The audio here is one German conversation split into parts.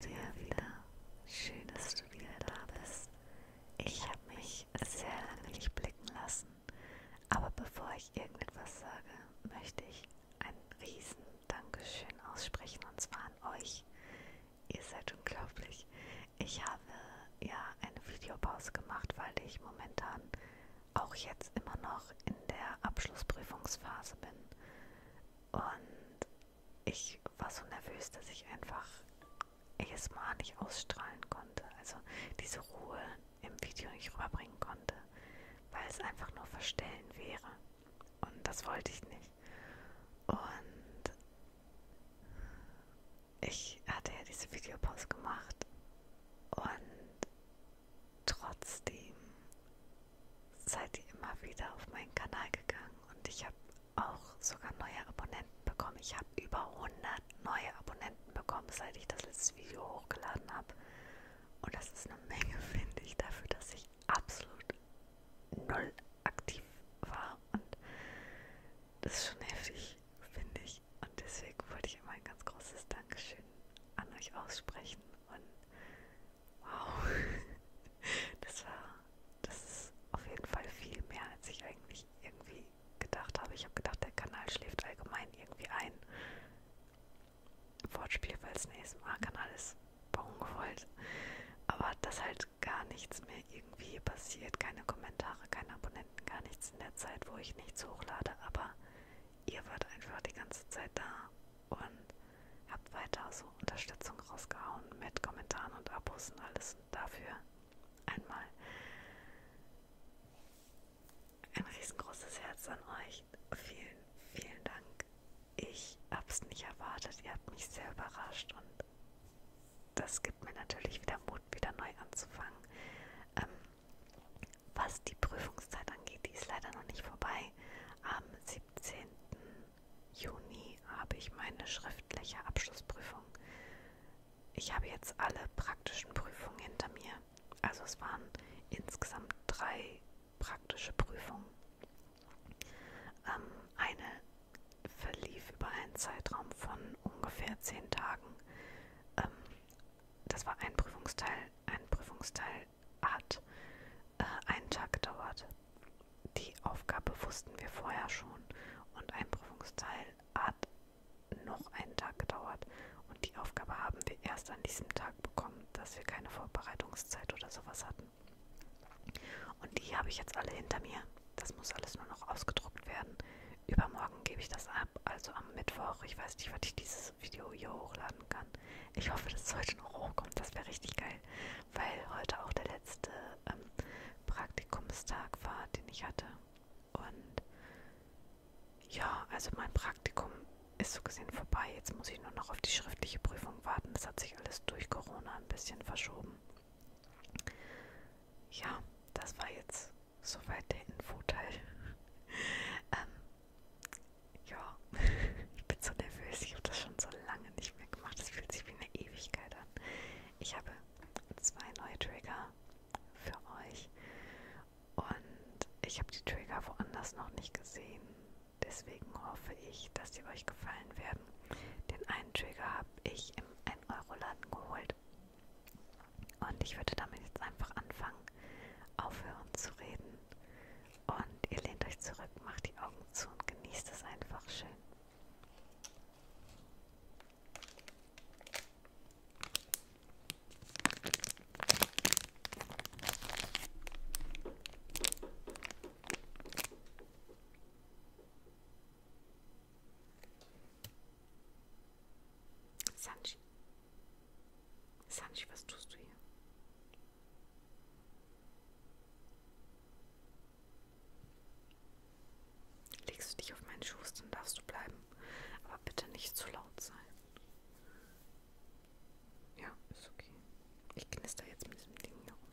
Sehr wieder. Schön, dass du wieder da bist. Ich habe mich sehr lange nicht blicken lassen. Aber bevor ich irgendetwas sage, möchte ich ein riesen Dankeschön aussprechen und zwar an euch, Ihr seid unglaublich. Ich habe ja eine Videopause gemacht, weil ich momentan auch jetzt immer noch in der Abschlussprüfungsphase bin. Und ich war so nervös, dass ich einfach ASMR nicht ausstrahlen konnte. Also diese Ruhe im Video nicht rüberbringen konnte, weil es einfach nur verstellen wäre. Und das wollte ich nicht. Und ich hatte ja diese Videopause gemacht und trotzdem seid ihr immer wieder auf meinen Kanal gegangen und ich habe auch sogar neue Abonnenten bekommen. Ich habe über 100 neue Abonnenten bekommen, seit ich das letzte Video hochgeladen habe. Und das ist eine Menge, finde ich, dafür, dass ich ich absolut null aktiv war und das ist schon heftig, finde ich. Und deswegen wollte ich immer ein ganz großes Dankeschön an euch aussprechen und wow, das war, das ist auf jeden Fall viel mehr, als ich eigentlich irgendwie gedacht habe. Ich habe gedacht, der Kanal schläft allgemein irgendwie ein. Wortspiel, weil es ein ASMR-Kanal ist, war ungewollt. Aber das halt gar nichts mehr irgendwie passiert. Keine Kommentare, keine Abonnenten, gar nichts in der Zeit, wo ich nichts hochlade. Aber ihr wart einfach die ganze Zeit da und habt weiter so Unterstützung rausgehauen mit Kommentaren und Abos und alles. Und dafür einmal ein riesengroßes Herz an euch. Vielen, vielen Dank. Ich hab's nicht erwartet. Ihr habt mich sehr überrascht und das gibt mir natürlich wieder Mut, wieder neu anzufangen. Ähm, was die Prüfungszeit angeht, die ist leider noch nicht vorbei. Am 17. Juni habe ich meine schriftliche Abschlussprüfung. Ich habe jetzt alle praktischen Prüfungen hinter mir. Also es waren insgesamt drei praktische Prüfungen ähm, eine verlief über einen Zeitraum von ungefähr zehn Tagen. Ähm, das war ein Prüfungsteil. Ein Prüfungsteil hat äh, einen Tag gedauert. Die Aufgabe wussten wir vorher schon und ein Prüfungsteil hat noch einen Tag gedauert. Und die Aufgabe haben wir erst an diesem Tag bekommen, dass wir keine Vorbereitungszeit oder sowas hatten. Und die habe ich jetzt alle hinter mir. Das muss alles nur noch ausgedruckt werden. Übermorgen gebe ich das ab, also am Mittwoch. Ich weiß nicht, wann ich dieses Video hier hochladen kann. Ich hoffe, dass es heute noch hochkommt. Das wäre richtig geil, weil heute auch der letzte ähm, Praktikumstag war, den ich hatte. Und ja, also mein Praktikum ist so gesehen vorbei. Jetzt muss ich nur noch auf die schriftliche Prüfung warten. Das hat sich alles durch Corona ein bisschen verschoben. Ja, das war jetzt soweit der Infoteil. ähm, ja, ich bin so nervös. Ich habe das schon so lange nicht mehr gemacht. Das fühlt sich wie eine Ewigkeit an. Ich habe zwei neue Trigger für euch und ich habe die Trigger woanders noch nicht gesehen. Deswegen hoffe ich, dass sie euch gefallen werden. Den einen Trigger habe ich im 1-Euro-Laden geholt. Und ich würde damit jetzt einfach anfangen, aufhören zu reden. Und ihr lehnt euch zurück, macht die Augen zu und genießt es einfach schön. Sanji. Sanji, was tust du hier? Legst du dich auf meinen Schoß, dann darfst du bleiben. Aber bitte nicht zu laut sein. Ja, ist okay. Ich knister jetzt mit diesem Ding hier rum.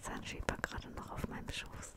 Sanji war gerade noch auf meinem Schoß.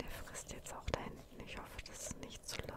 Der frisst jetzt auch da hinten. Ich hoffe, das ist nicht zu laut.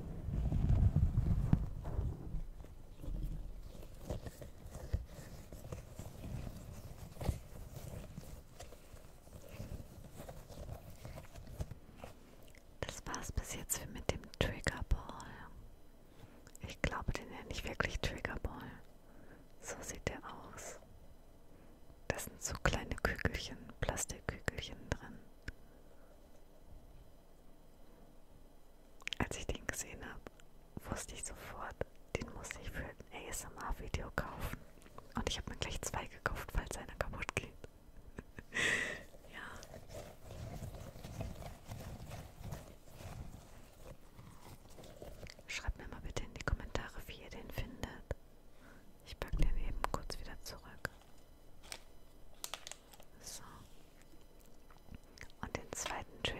Das war's bis jetzt mit dem Triggerball. Ich glaube, den nenne ich wirklich Triggerball. So sieht der aus. Das sind so kleine Kügelchen, Plastikkügelchen drin. Als ich den gesehen habe, wusste ich sofort, den muss ich für ein ASMR-Video kaufen. Und ich habe mir gleich zwei gekauft, falls einer kaputt geht. ja. Schreibt mir mal bitte in die Kommentare, wie ihr den findet. Ich packe den eben kurz wieder zurück. So. Und den zweiten Trigger.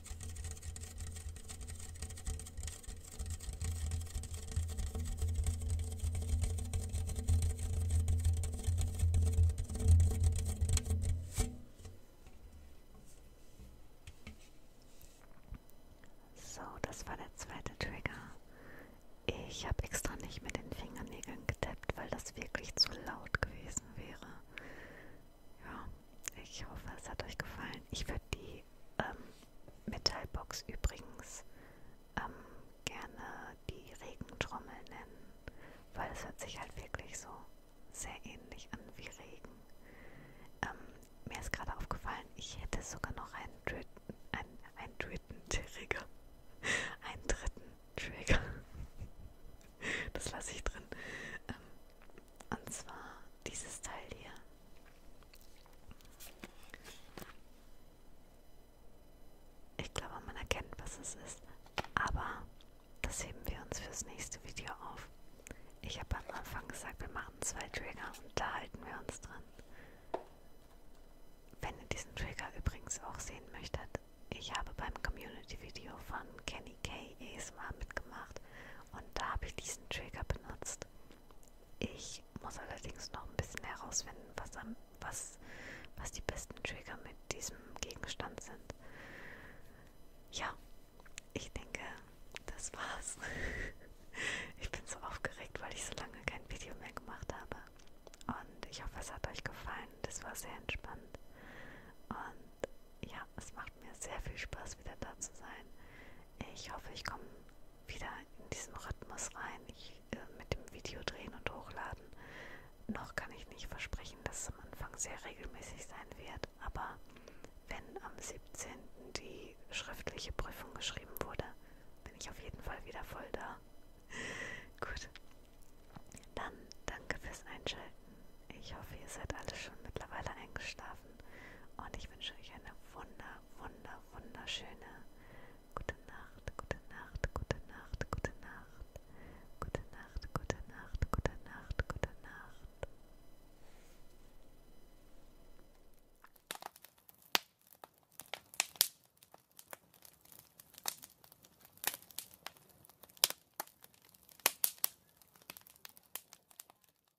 So, das war der zweite Trigger. Ich habe extra nicht mit den Fingernägeln getappt, weil das wirklich zu laut gewesen wäre. Ja ich hoffe, es hat euch gefallen. Ich würde die ähm, Metallbox übrigens ähm, gerne die Regentrommel nennen, weil es hört sich halt wirklich so sehr ähnlich an wie Regen. Ähm, mir ist gerade aufgefallen, ich hätte sogar noch einen dritten, einen, einen dritten Trigger. Einen dritten Trigger. Das lasse ich drin. Ähm, und zwar dieses Teil hier. Ich glaube, man erkennt, was es ist. Aber das heben wir uns fürs nächste Video auf. Ich habe am Anfang gesagt, wir machen zwei Trigger und da halten wir uns dran. Wenn ihr diesen Trigger übrigens auch sehen möchtet, ich habe beim Community-Video von Kenny K ASMR mitgemacht und da habe ich diesen Trigger benutzt. Ich muss allerdings noch ein bisschen herausfinden, was, am, was, was die besten Trigger mit diesem Gegenstand sind. Ja, ich denke, das war's. ich bin so aufgeregt, weil ich so lange kein Video mehr gemacht habe. Und ich hoffe, es hat euch gefallen. Das war sehr entspannt. Und ja, es macht mir sehr viel Spaß, wieder da zu sein. Ich hoffe, ich komme wieder in diesen Rhythmus rein. Ich äh, mit dem Video drehen und hochladen. Noch kann ich nicht versprechen, dass es am Anfang sehr regelmäßig sein wird, aber wenn am 17. die schriftliche Prüfung geschrieben wurde, bin ich auf jeden Fall wieder voll da. Gut. Dann danke fürs Einschalten. Ich hoffe, ihr seid alle schon mittlerweile eingeschlafen schlafen und ich wünsche euch eine wunder, wunder, wunderschöne gute Nacht, gute Nacht, gute Nacht, gute Nacht, gute Nacht, gute Nacht, gute Nacht, gute Nacht.